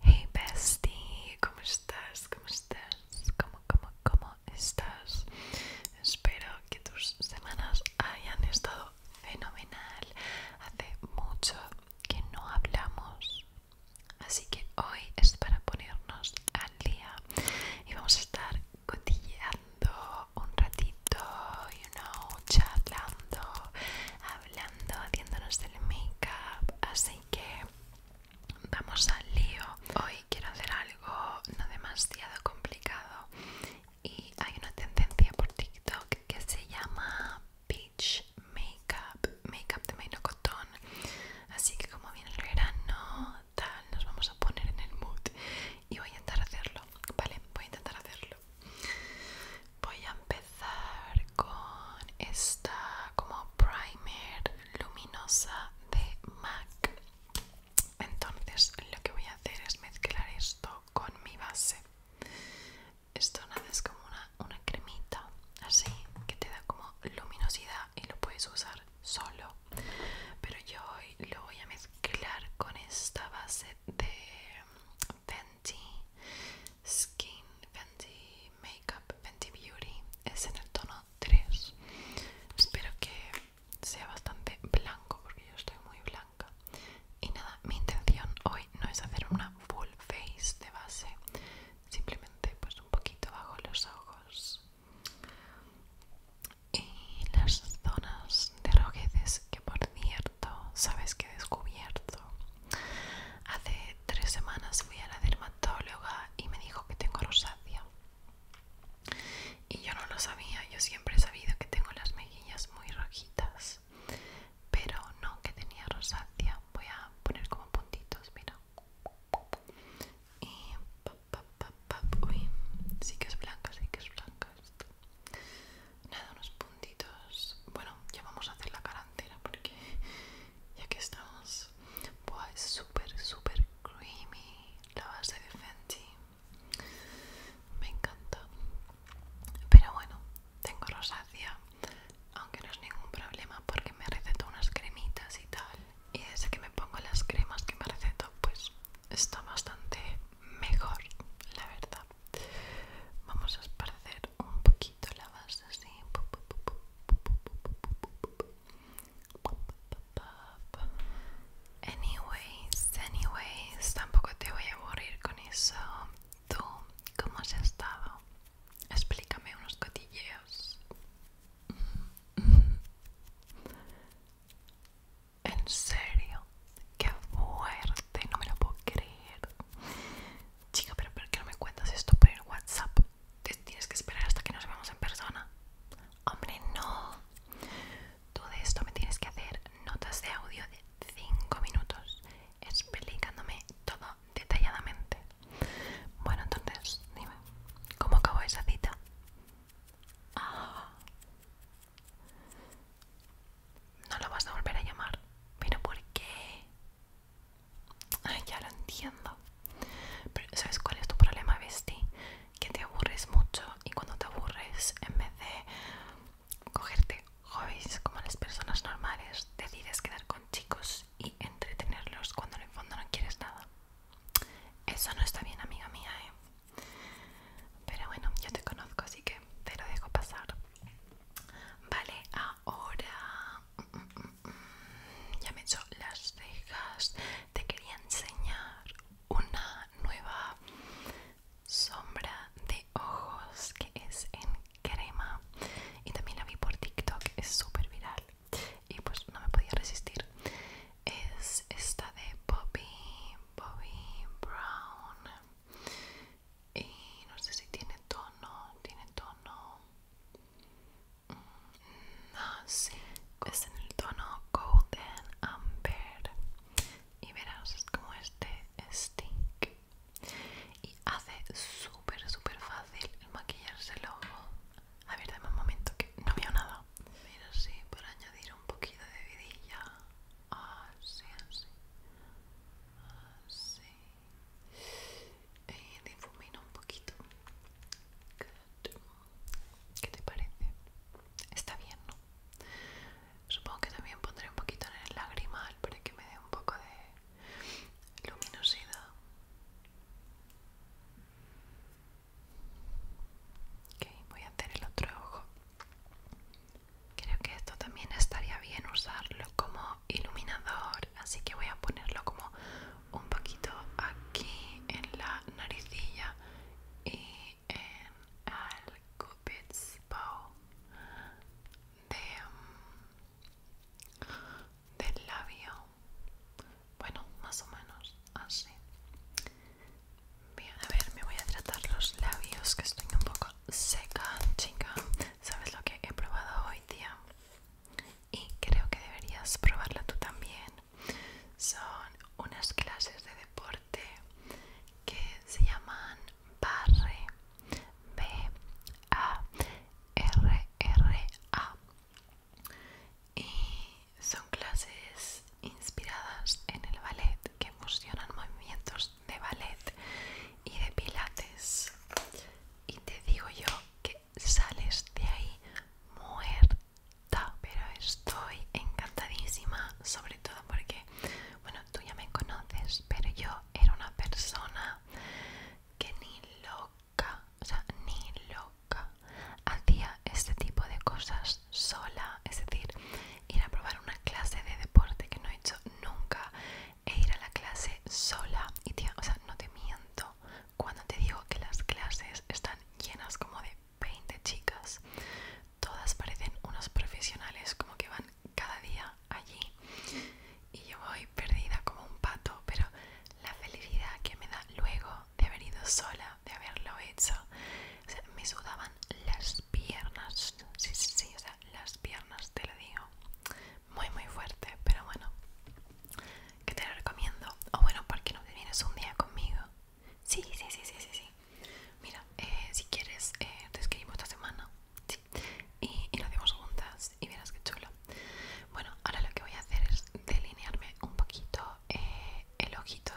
Hey bestie, ¿cómo estás? ¿Cómo estás? ¿Cómo, cómo, cómo estás? Espero que tus semanas hayan estado fenomenal. Hace mucho que no hablamos, así que hoy es para ponernos al día y vamos a estar cotilleando un ratito, y know, charlando, hablando, haciéndonos el make-up, así que vamos al lío. Hoy quiero hacer algo no demasiado complicado y hay una tendencia por TikTok que se llama Peach makeup, makeup de Cotón. Así que como viene el verano, tal, nos vamos a poner en el mood y voy a intentar hacerlo, ¿vale? Voy a intentar hacerlo voy a empezar con esta como primer luminosa de MAC entonces lo que voy a hacer es mezclar esto con mi base esto nada es como una, una cremita así que te da como luminosidad y lo puedes usar solo pero yo hoy lo voy a mezclar con esta base de Fenty Skin, Fenty Makeup, Fenty Beauty es en el tono 3 espero que sea bastante blanco porque yo estoy muy blanca y nada, mi intención hoy no es hacer una full face de base simplemente pues un poquito bajo los ojos y las zonas de rojeces que por cierto sabes que he descubierto Hace tres semanas fui a la dermatóloga y me dijo que tengo rosácea. Y yo no lo sabía, yo siempre he sabido que tengo las mejillas muy rojitas. Pero no que tenía rosácea. Voy a poner como puntitos, mira. Y sí que es blanca, sí que es blanca esto. Nada, unos puntitos. Bueno, ya vamos a hacer la cara porque y aquí estamos. Buah, es súper, súper creamy la base de Fenty. Me encanta. Pero bueno, tengo rosácea, aunque no es ningún problema porque me recetó unas cremitas y tal. Y desde que me pongo las cremas que me recetó, pues está bastante mejor, la verdad. Vamos a esparcer un poquito la así anyways anyways tampoco te voy a aburrir con eso tú cómo has estado explícame unos cotilleos en serio qué fuerte no me lo puedo creer Chica, pero ¿por qué no me cuentas esto por el WhatsApp? Te tienes que esperar hasta que nos vemos en persona. Hombre, no. Tú de esto me tienes que hacer notas de audio de 5 minutos, explicándome todo detalladamente. Bueno, entonces, dime, ¿cómo acabó esa cita? Ah. No lo vas a volver a llamar. ¿Pero por qué? Ay, ya lo entiendo. Pero ¿sabes cuál es tu problema, Besti? Que te aburres mucho y cuando te aburres, en vez de cogerte hobbies como las personas normales, decides quedar con chicos y entretenerlos cuando en el fondo no quieres nada. Eso no está bien, amiga mía, ¿eh? Pero bueno, yo te conozco, así que te lo dejo pasar. Vale, ahora... Mm, mm, mm ya me he hecho las cejas. Te quería enseñar una nueva sombra de ojos que es en crema y también la vi por TikTok, es súper viral y pues no me podía resistir. Es esta de Bobby Bobby Brown y no sé si tiene tono, tiene tono, mm, no, es en el tono Golden Amber y verás, es como este stink y hace súper súper fácil el maquillarse el ojo. A ver, dame un momento que no veo nada. Mira, sí, para añadir un poquito de vidilla. Así, así. Así. Y eh, difumino un poquito. ¿Qué te parece? Está bien, ¿no? Supongo que también pondré un poquito en el lagrimal para que me dé un poco de luminosidad. Ok, voy a hacer el otro ojo. Creo que esto también estaría bien usarlo como iluminador, así que voy a ponerlo como un poquito aquí en la naricilla y en el Cupid's Bow de, mm, del labio. Bueno, más o menos así. Bien, a ver, me voy a tratar los labios que estoy un poco seca, chica. ¿Sabes lo que he probado hoy día? y creo que deberías probarla tú también. Son unas clases de deporte que se llaman barre, b a r r a y son clases inspiradas en el ballet que fusionan movimientos de ballet y de pilates y te digo yo que sales de ahí muerta pero estoy encantadísima sobre todo porque bueno tú ya me conoces pero yo era una persona que ni loca o sea ni loca hacía este tipo de cosas sola es decir ir a probar una clase de deporte que no he hecho nunca e ir a la clase sola. Y tía, o sea, no te miento cuando te digo que las clases están llenas como de 20 chicas. Todas parecen unos profesionales, como que van cada día allí. Y yo voy perdida como un pato, pero la felicidad que me da luego de haber ido sola, de haberlo hecho, o sea, me sudaban las piernas. Sí, sí, sí, o sea, las piernas, te lo digo muy muy fuerte pero bueno que te lo recomiendo o bueno porque no te vienes un día conmigo sí sí sí sí sí mira eh, si quieres eh, te escribimos esta semana y, nos lo hacemos juntas y verás que chulo bueno ahora lo que voy a hacer es delinearme un poquito eh, el ojito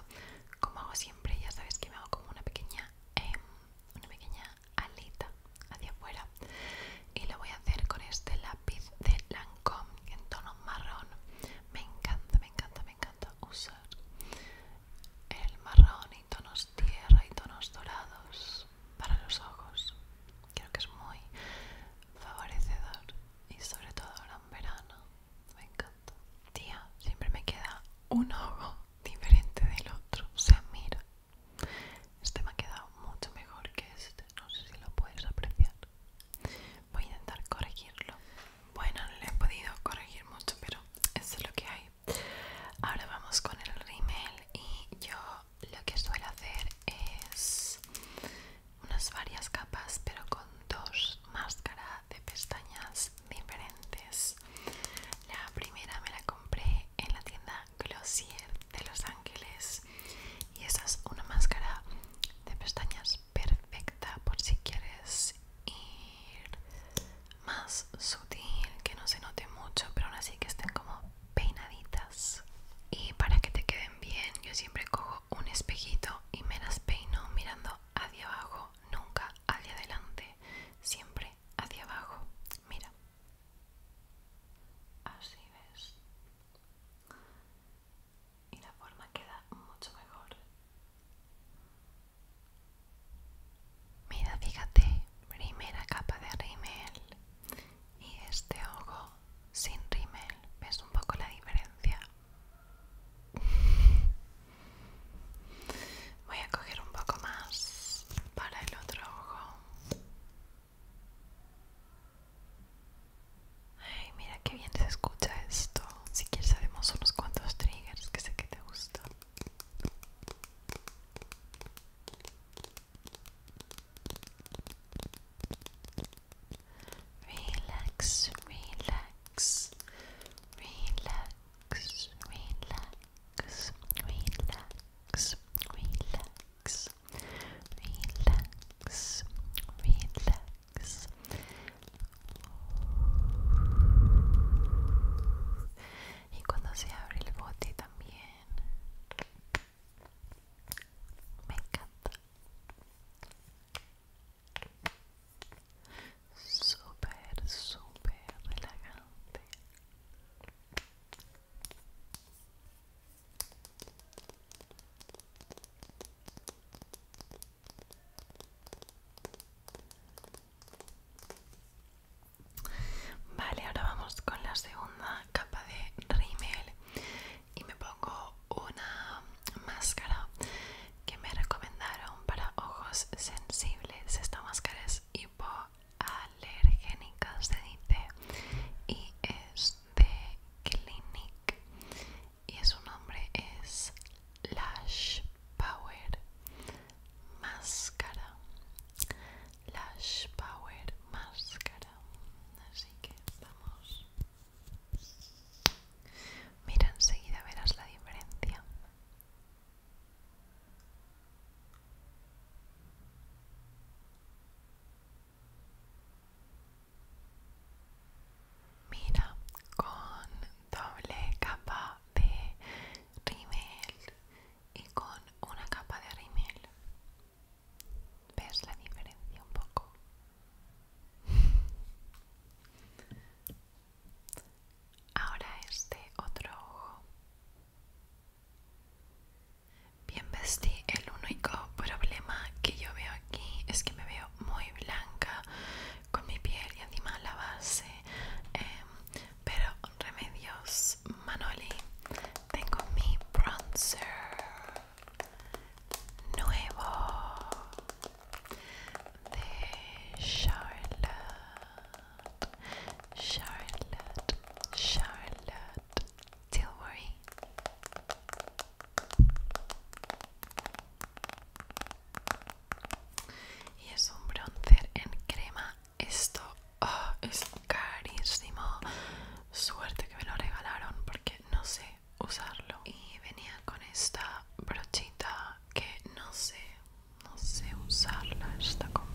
como hago siempre ya sabes que me hago como una pequeña em, una pequeña alita hacia afuera y lo voy a hacer con este lápiz de Lancome en tono marrón me encanta, me encanta, me encanta usar el marrón y tonos tierra y tonos dorados para los ojos creo que es muy favorecedor y sobre todo ahora en verano me encanta tía, siempre me queda un ojo diferente del otro Se sea, mira este me ha quedado mucho mejor que este, no sé si lo puedes apreciar. Voy a intentar corregirlo. Bueno, no lo he podido corregir mucho, pero eso es lo que hay. Ahora vamos con el rímel y yo lo que suelo hacer es unas varias capas, pero con dos máscaras de pestañas diferentes. La primera me la compré en la tienda Glossier de Los Ángeles y esa es una máscara de pestañas perfecta por si quieres ir más sutil, que no se note mucho, pero aún así que estén como peinaditas. Y para que te queden bien, yo siempre cojo un espejito y me las peino mirando hacia abajo, nunca hacia adelante, siempre hacia abajo. Mira. Así ves. Y la forma queda mucho mejor. Mira, fíjate, primera capa de rímel y este ojo sin rímel. ¿Ves un poco la diferencia? Voy a coger un poco más para el otro ojo. Ay, mira qué bien se escucha esto. Si quieres sabemos unos cuantos triggers que sé que te gustan. Relax, relax, relax, relax, relax, relax. Y cuando se abre el bote también. Me encanta. super super relajante. Vale, ahora vamos con la segunda capa de rímel y me pongo una máscara que me recomendaron para ojos sensibles. Esta máscara es hipo alergénica se dice y es de Clinique y su nombre es Lash Power Máscara Lash Power Máscara así que vamos mira enseguida verás la diferencia Mira, con doble capa de rímel y con una capa de rímel. ¿Ves la diferencia un poco? Ahora este otro ojo. Bien vestí, el único problema que yo veo aquí es que me veo muy blanca con mi piel y encima la base. Em, pero remedios, Manoli, tengo mi bronzer nuevo de Charlotte. Charlotte, Charlotte. Y es un bronzer en crema. Esto ah, es carísimo. Suerte que me lo regalaron porque no sé usarlo. Y venía con esta brochita que no sé, no sé usarla. Está con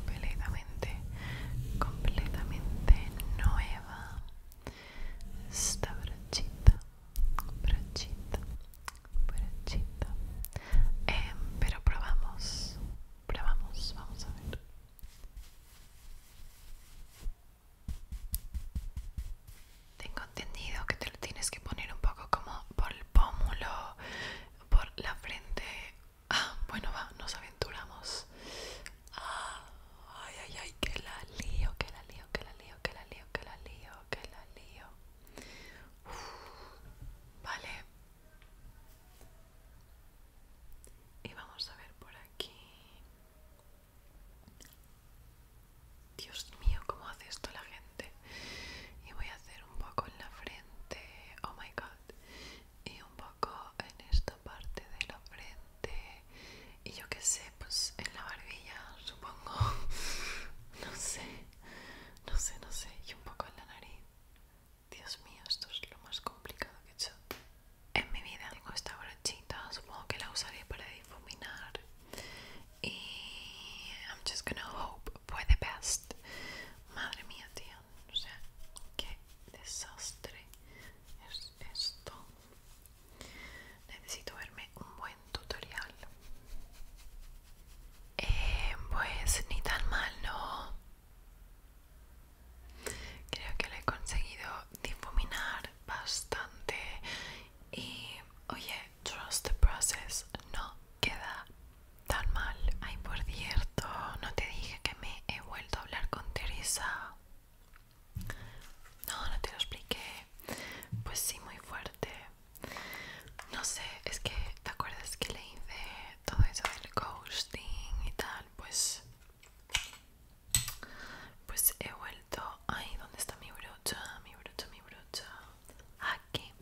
completamente, nueva. Esta brochita, brochita, brochita. Eh, pero probamos, probamos, vamos a ver. Tengo entendido que te lo tienes que poner un poco como por el pómulo, por la frente Ah, bueno, va, nos aventuramos. Ah, ay, ay, ay, que la lío, que la lío, que la lío, que la lío, que la lío, que la lío. vale. Y vamos a ver por aquí. Dios mío, cómo hace esto la gente. Y voy a hacer un poco en la frente. Oh my god. Y un poco un poco en esta parte de la frente y yo qué sé, pues en la barbilla, supongo. No sé, no sé, no sé. Y un poco en la nariz. Dios mío, esto es lo más complicado que he hecho en mi vida. Tengo esta brochita, supongo que la usaré para difuminar. Y I'm just gonna hope for the best. Madre mía, tío. O sea, qué desastre es esto necesito verme un buen tutorial eh, pues ni tan mal no creo que lo he conseguido difuminar bastante y oye trust the process no queda tan mal ay por cierto no te dije que me he vuelto vuelto a hablar con Teresa? No, no te lo expliqué. Pues sí, muy fuerte. No sé, es que, ¿te acuerdas que le hice todo eso del ghosting y tal? Pues... Pues he vuelto... Ay, ¿dónde está mi brocha? Mi brocha, mi brocha. Aquí.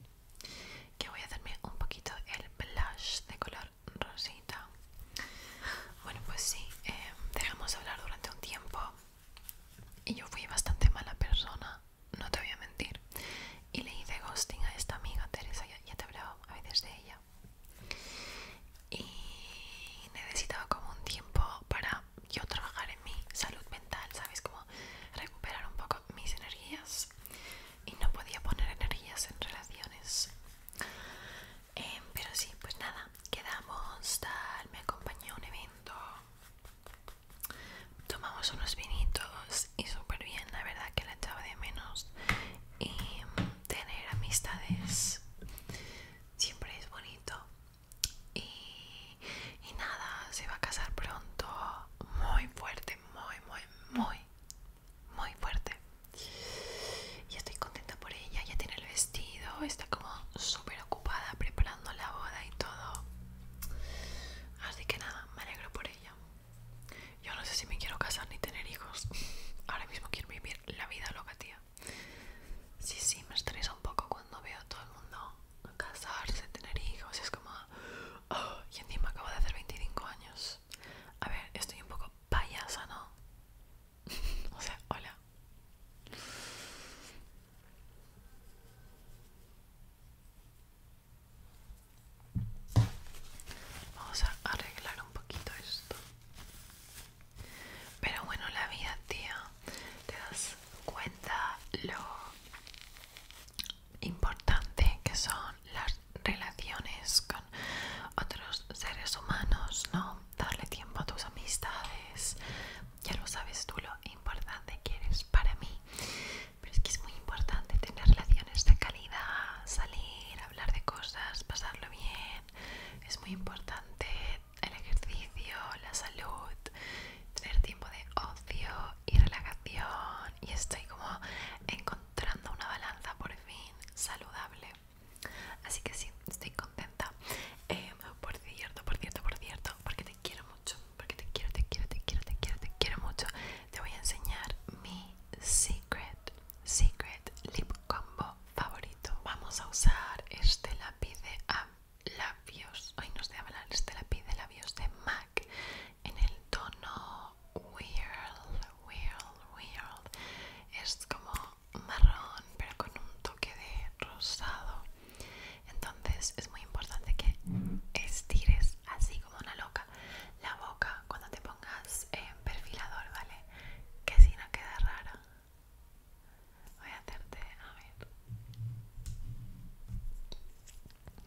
Que voy a hacerme un poquito el blush de color Rosita. Bueno, pues sí, eh, dejamos de hablar durante un tiempo y yo fui bastante mala persona, no te voy a mentir. Y le hice ghosting a esta amiga Teresa, ya, ya te he hablado a veces de ella. Y necesitaba como un tiempo para yo trabajar en mi salud mental, ¿sabes? Como recuperar un poco mis energías y no podía poner energías en relaciones Em, pero sí, pues nada, quedamos tal, me acompañó a un evento, tomamos unos vinitos y súper bien, la verdad que la echaba de menos. Y mm, tener amistades siempre es bonito. y nada, se va a casar pronto, muy fuerte, muy, muy, muy muy fuerte y estoy contenta por ella, ya tiene el vestido, está como súper ocupada preparando la boda y todo. Así que nada, me alegro por ella. Yo no sé si me quiero casar ni tener hijos. Ahora mismo quiero vivir la vida loca, tía. Sí, sí, me estresa un poco cuando veo a todo el mundo casarse, tener hijos. Es como... y encima acabo de hacer 25 años. A ver, estoy un poco payasa, ¿no? o sea, hola. Vamos a arreglar un poquito esto. Pero bueno, la vida, tía, te das cuenta lo importante que son las relaciones con otros seres humanos, ¿no? Darle tiempo a tus amistades. Ya lo sabes tú lo importante que eres para mí. Pero es que es muy importante tener relaciones de calidad, salir, hablar de cosas, pasarlo bien. Es muy importante el ejercicio, la salud, tener tiempo de ocio y relajación. Y estoy como encontrando una balanza por fin saludable. Así que sí, estoy contenta. Eh, por cierto, por cierto, por cierto, porque te quiero mucho, porque te quiero, te quiero, te quiero, te quiero, te quiero mucho. Te voy a enseñar mi secret, secret lip combo favorito. Vamos a usar este lápiz de labios, hoy nos sé hablar este lápiz de labios de MAC en el tono Weird, weird, weird. Es como marrón, pero con un toque de rosado. Entonces es muy importante que estires así como una loca la boca cuando te pongas en perfilador, ¿vale? Que si no queda raro. Voy a hacerte, a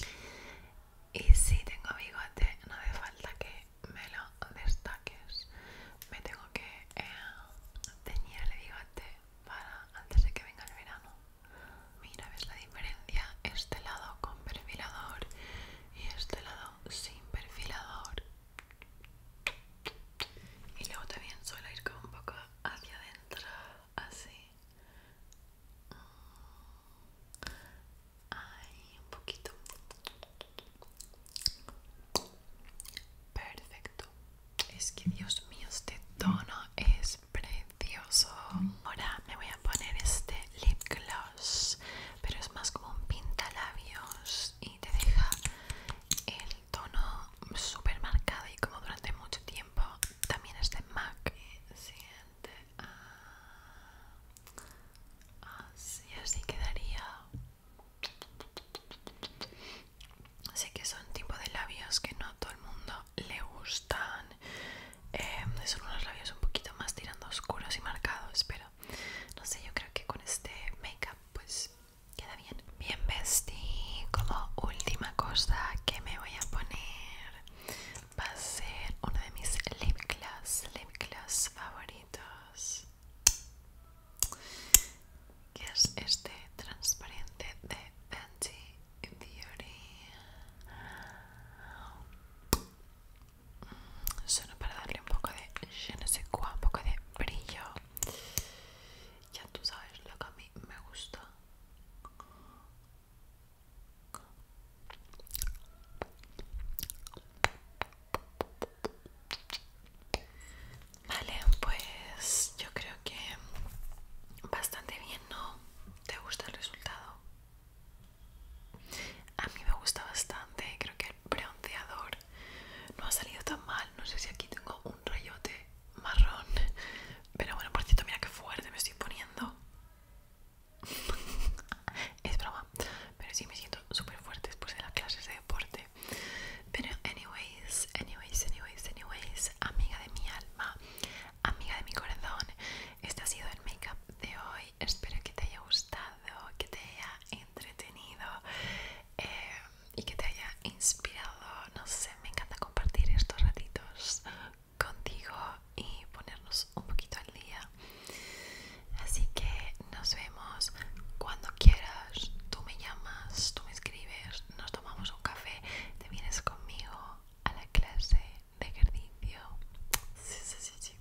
ver. Y si tengo bigote, no hace falta que me lo destaques me tengo que eh, teñir el bigote para antes de que venga el verano mira ves la diferencia este lado con perfilador y este lado sin perfilador y luego también suele ir con un poco hacia adentro así ahí un poquito perfecto es que dios mío este tono es precioso ahora me voy a poner este lip gloss pero es más como un pintalabios y te deja el tono súper marcado y como durante mucho tiempo también es de MAC siente siguiente Así, así quedaría. Así que son tipo de labios que no a todo el mundo le gustan. Em, son unos labios un poquito más tirando oscuros y marcados, pero no sé, yo creo que con este make pues queda bien. Bien vestí. Como última cosa que me voy a poner va a ser uno de mis lip gloss, lip gloss favoritos. ¿Qué es este transparente de Fenty Beauty solo para darle un poco de je un poco de brillo ya tú sabes lo que a mí me gusta Vale, pues yo creo que bastante bien, ¿no? ¿Te gusta el resultado? A mí me gusta bastante, creo que el bronceador no ha salido tan mal, no sé si aquí tengo un rayote marrón, pero bueno, por cierto, mira qué fuerte me estoy poniendo. es broma pero sí me siento súper fuerte después de las clases de deporte pero anyways anyways anyways anyways amiga de mi alma amiga de mi corazón este ha sido el makeup de hoy espero que te haya gustado que te haya entretenido eh, y que te haya inspirado no sé me encanta compartir estos ratitos contigo y ponernos un poquito al día Así que nos vemos cuando quieras. Tú me llamas, tú me escribes, nos tomamos un café, te vienes conmigo a la clase de ejercicio. Sí, sí, sí, sí.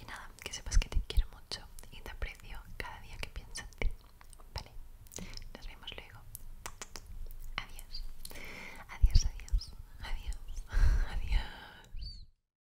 Y nada, que sepas que te quiero mucho y te aprecio cada día que piensas en ti. Vale, nos vemos luego. Adiós. Adiós, adiós. Adiós. Adiós.